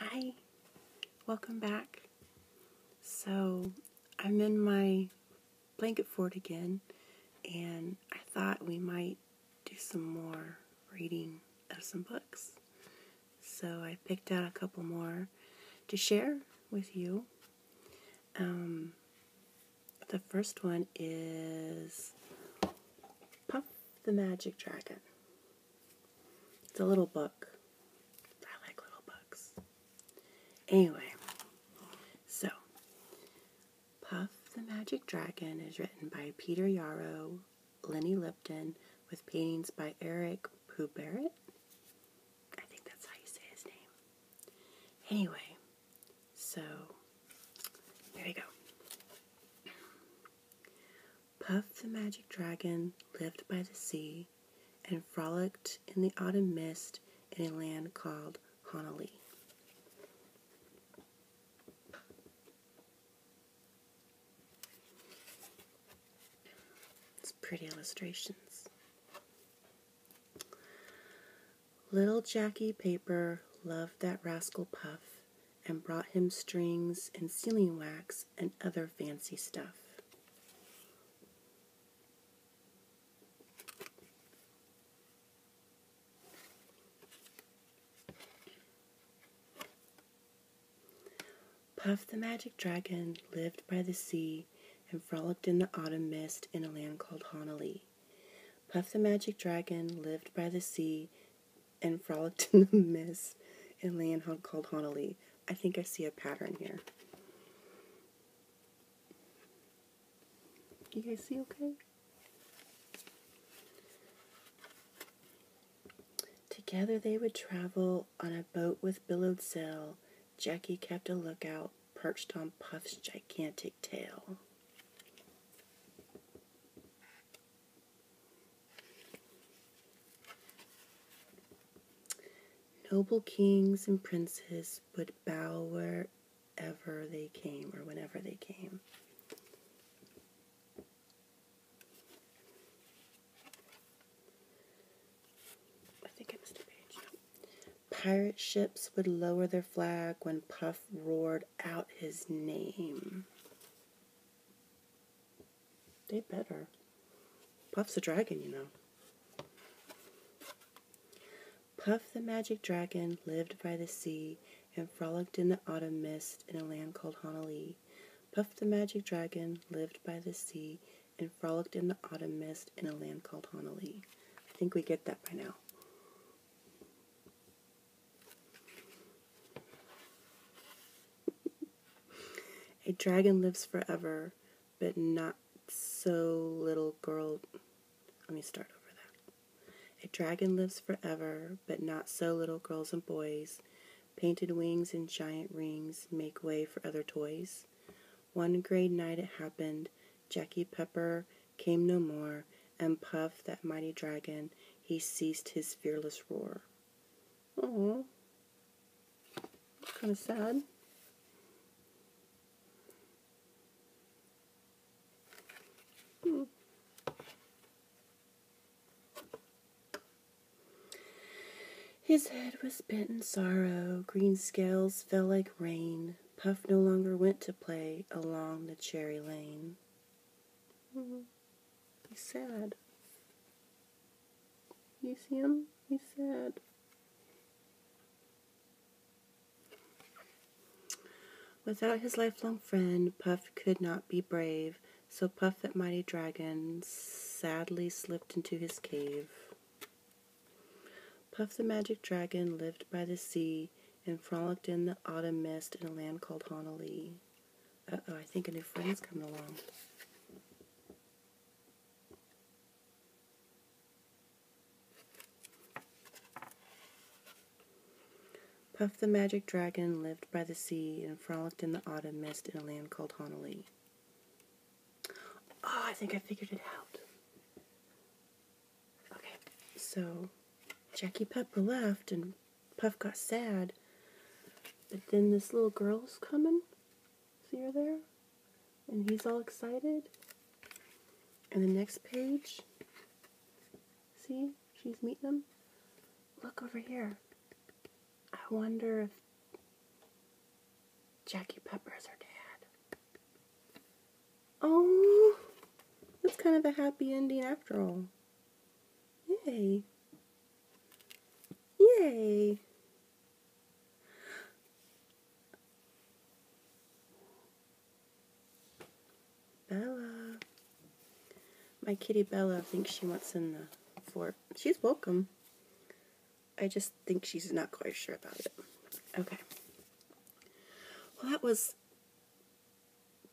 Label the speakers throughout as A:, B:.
A: Hi, welcome back. So, I'm in my blanket fort again, and I thought we might do some more reading of some books. So, I picked out a couple more to share with you. Um, the first one is Puff the Magic Dragon. It's a little book. I like little books. Anyway, so Puff the Magic Dragon is written by Peter Yarrow, Lenny Lipton, with paintings by Eric Poubarrett. I think that's how you say his name. Anyway, so there you go. Puff the magic dragon lived by the sea and frolicked in the autumn mist in a land called Honalee. It's pretty illustrations. Little Jackie Paper loved that rascal Puff and brought him strings and sealing wax and other fancy stuff. Puff the magic dragon lived by the sea and frolicked in the autumn mist in a land called Honolulu. Puff the magic dragon lived by the sea and frolicked in the mist and land called Honolulu. I think I see a pattern here. You guys see okay? Together they would travel on a boat with billowed sail. Jackie kept a lookout, perched on Puff's gigantic tail. Noble kings and princes would bow wherever they came or whenever they came. I think I missed a page. Pirate ships would lower their flag when Puff roared out his name. They better. Puff's a dragon, you know. Puff the magic dragon lived by the sea and frolicked in the autumn mist in a land called Honalee. Puff the magic dragon lived by the sea and frolicked in the autumn mist in a land called Honalee. I think we get that by now. A dragon lives forever, but not so little girl. Let me start over that. A dragon lives forever, but not so little girls and boys. Painted wings and giant rings make way for other toys. One gray night it happened. Jackie Pepper came no more, and Puff, that mighty dragon, he ceased his fearless roar. Oh, kind of sad. Hmm. His head was bent in sorrow, green scales fell like rain. Puff no longer went to play along the cherry lane. Hmm. He's sad. You see him? He's sad. Without his lifelong friend, Puff could not be brave, so Puff the mighty dragon sadly slipped into his cave. Puff the magic dragon lived by the sea and frolicked in the autumn mist in a land called Honalee. Uh oh, I think a new friend's coming along. Puff the magic dragon lived by the sea and frolicked in the autumn mist in a land called Honalee. Oh, I think I figured it out. Okay, so Jackie Pepper left and Puff got sad. But then this little girl's coming. See her there? And he's all excited. And the next page, see, she's meeting them. Look over here. I wonder if Jackie Pepper's her dad. Oh, that's kind of a happy ending after all. Yay. Yay. Bella. My kitty Bella thinks she wants in the fort. She's welcome. I just think she's not quite sure about it. Okay. Well, that was.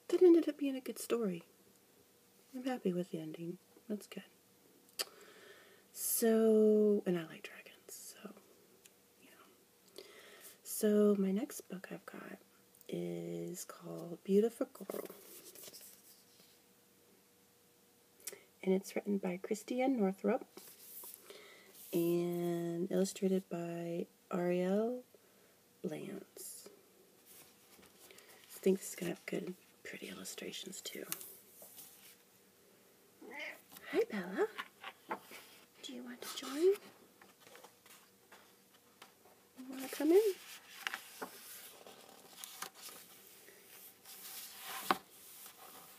A: That ended up being a good story. I'm happy with the ending. That's good. So, and I like dragons, so, yeah. So, my next book I've got is called Beautiful Girl. And it's written by Christiane Northrup and illustrated by Ariel Lance. I think this is going to have good, pretty illustrations too. Hi, Bella. Do you want to join? You want to come in?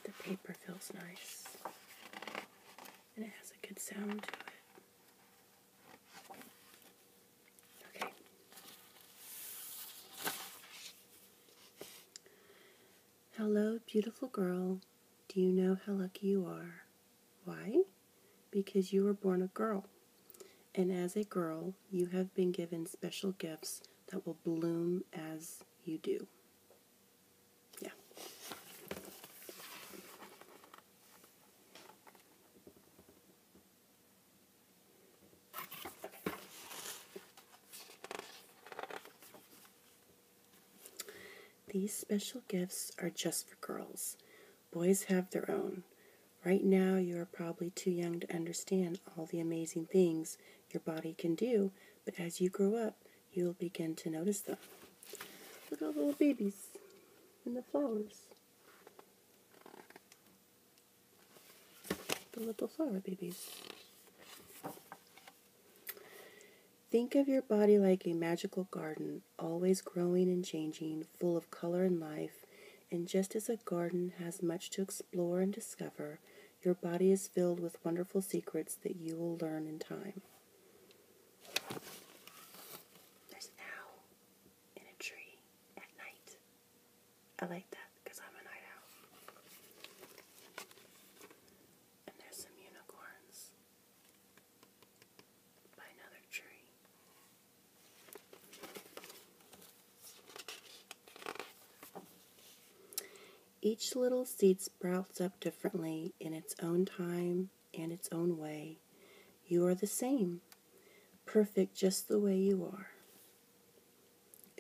A: The paper feels nice. And it has a good sound to it. Hello, beautiful girl. Do you know how lucky you are? Why? Because you were born a girl. And as a girl, you have been given special gifts that will bloom as you do. Yeah. These special gifts are just for girls. Boys have their own. Right now, you are probably too young to understand all the amazing things your body can do, but as you grow up, you will begin to notice them. Look at all the little babies and the flowers the little flower babies. Think of your body like a magical garden, always growing and changing, full of color and life. And just as a garden has much to explore and discover, your body is filled with wonderful secrets that you will learn in time. There's an owl in a tree at night. I like that because I'm a night owl. And there's some unicorns by another tree. Each little seed sprouts up differently in its own time and its own way. You are the same. Perfect just the way you are.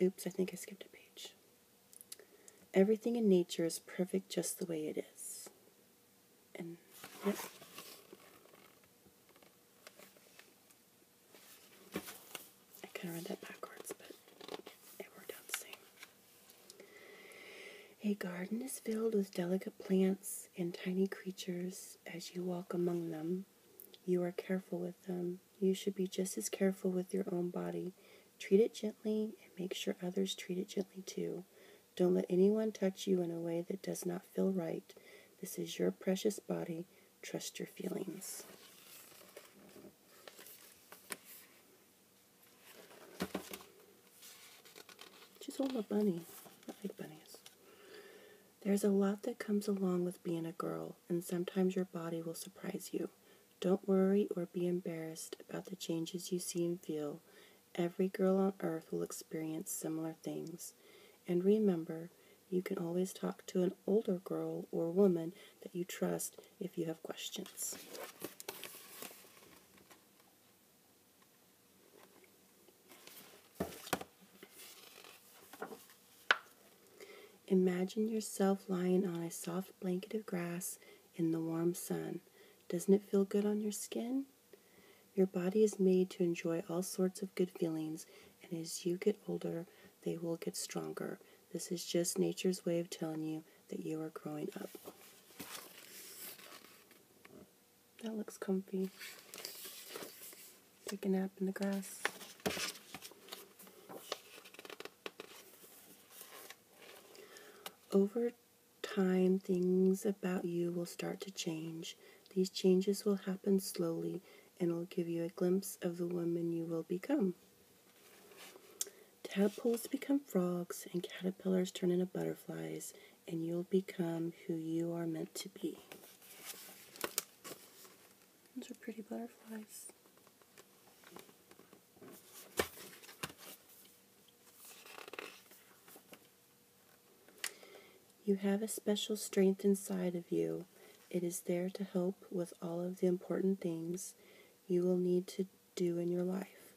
A: Oops, I think I skipped a page. Everything in nature is perfect just the way it is. And, yep. I kind of read that backwards, but it worked out the same. A garden is filled with delicate plants and tiny creatures. As you walk among them, you are careful with them. You should be just as careful with your own body. Treat it gently and make sure others treat it gently too. Don't let anyone touch you in a way that does not feel right. This is your precious body. Trust your feelings. She's holding a bunny. I like bunnies. There's a lot that comes along with being a girl and sometimes your body will surprise you. Don't worry or be embarrassed about the changes you see and feel. Every girl on earth will experience similar things. And remember, you can always talk to an older girl or woman that you trust if you have questions. Imagine yourself lying on a soft blanket of grass in the warm sun. Doesn't it feel good on your skin? Your body is made to enjoy all sorts of good feelings, and as you get older, they will get stronger. This is just nature's way of telling you that you are growing up. That looks comfy take a nap in the grass. Over time, things about you will start to change. These changes will happen slowly and will give you a glimpse of the woman you will become. Tadpoles become frogs, and caterpillars turn into butterflies, and you'll become who you are meant to be. Those are pretty butterflies. You have a special strength inside of you. It is there to help with all of the important things you will need to do in your life.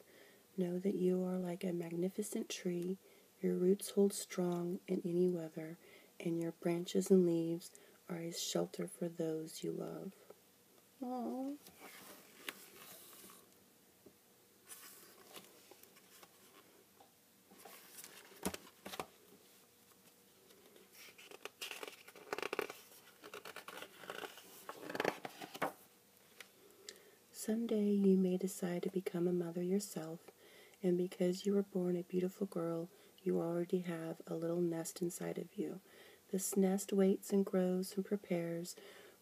A: Know that you are like a magnificent tree. Your roots hold strong in any weather, and your branches and leaves are a shelter for those you love. Aww. Someday you may decide to become a mother yourself and because you were born a beautiful girl, you already have a little nest inside of you. This nest waits and grows and prepares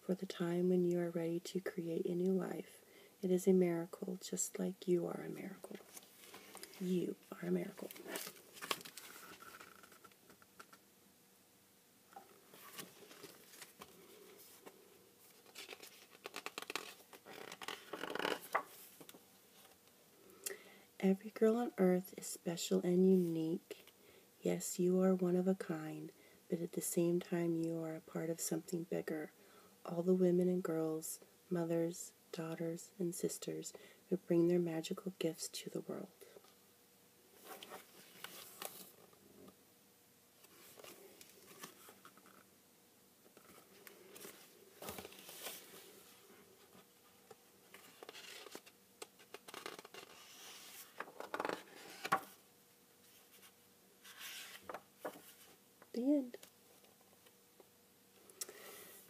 A: for the time when you are ready to create a new life. It is a miracle, just like you are a miracle. You are a miracle. Every girl on earth is special and unique. Yes, you are one of a kind, but at the same time, you are a part of something bigger. All the women and girls, mothers, daughters, and sisters who bring their magical gifts to the world. The end.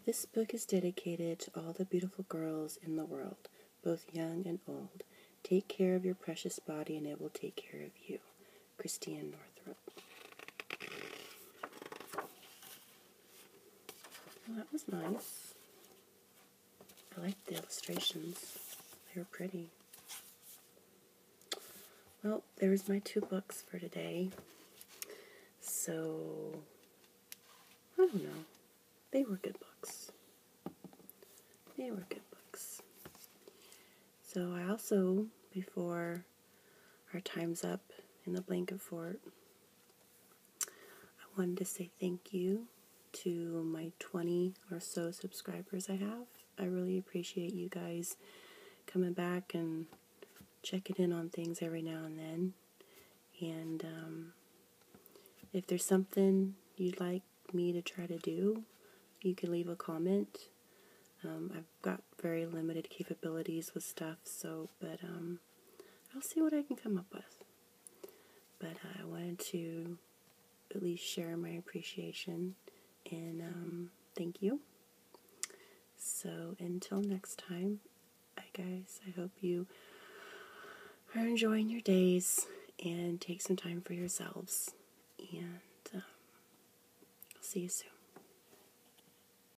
A: This book is dedicated to all the beautiful girls in the world, both young and old. Take care of your precious body, and it will take care of you. Christiane Northrup that was nice. I liked the illustrations. They were pretty. Well, there's my two books for today. So, I don't know. They were good books. They were good books. So I also, before our time's up in the blanket fort. I wanted to say thank you to my 20 or so subscribers I have. I really appreciate you guys coming back and checking in on things every now and then. And um, if there's something you'd like me to try to do, you can leave a comment. Um, I've got very limited capabilities with stuff, so, but um, I'll see what I can come up with. But I wanted to at least share my appreciation and um, thank you. So until next time, I guys, I hope you are enjoying your days and take some time for yourselves. And um, I'll see you soon.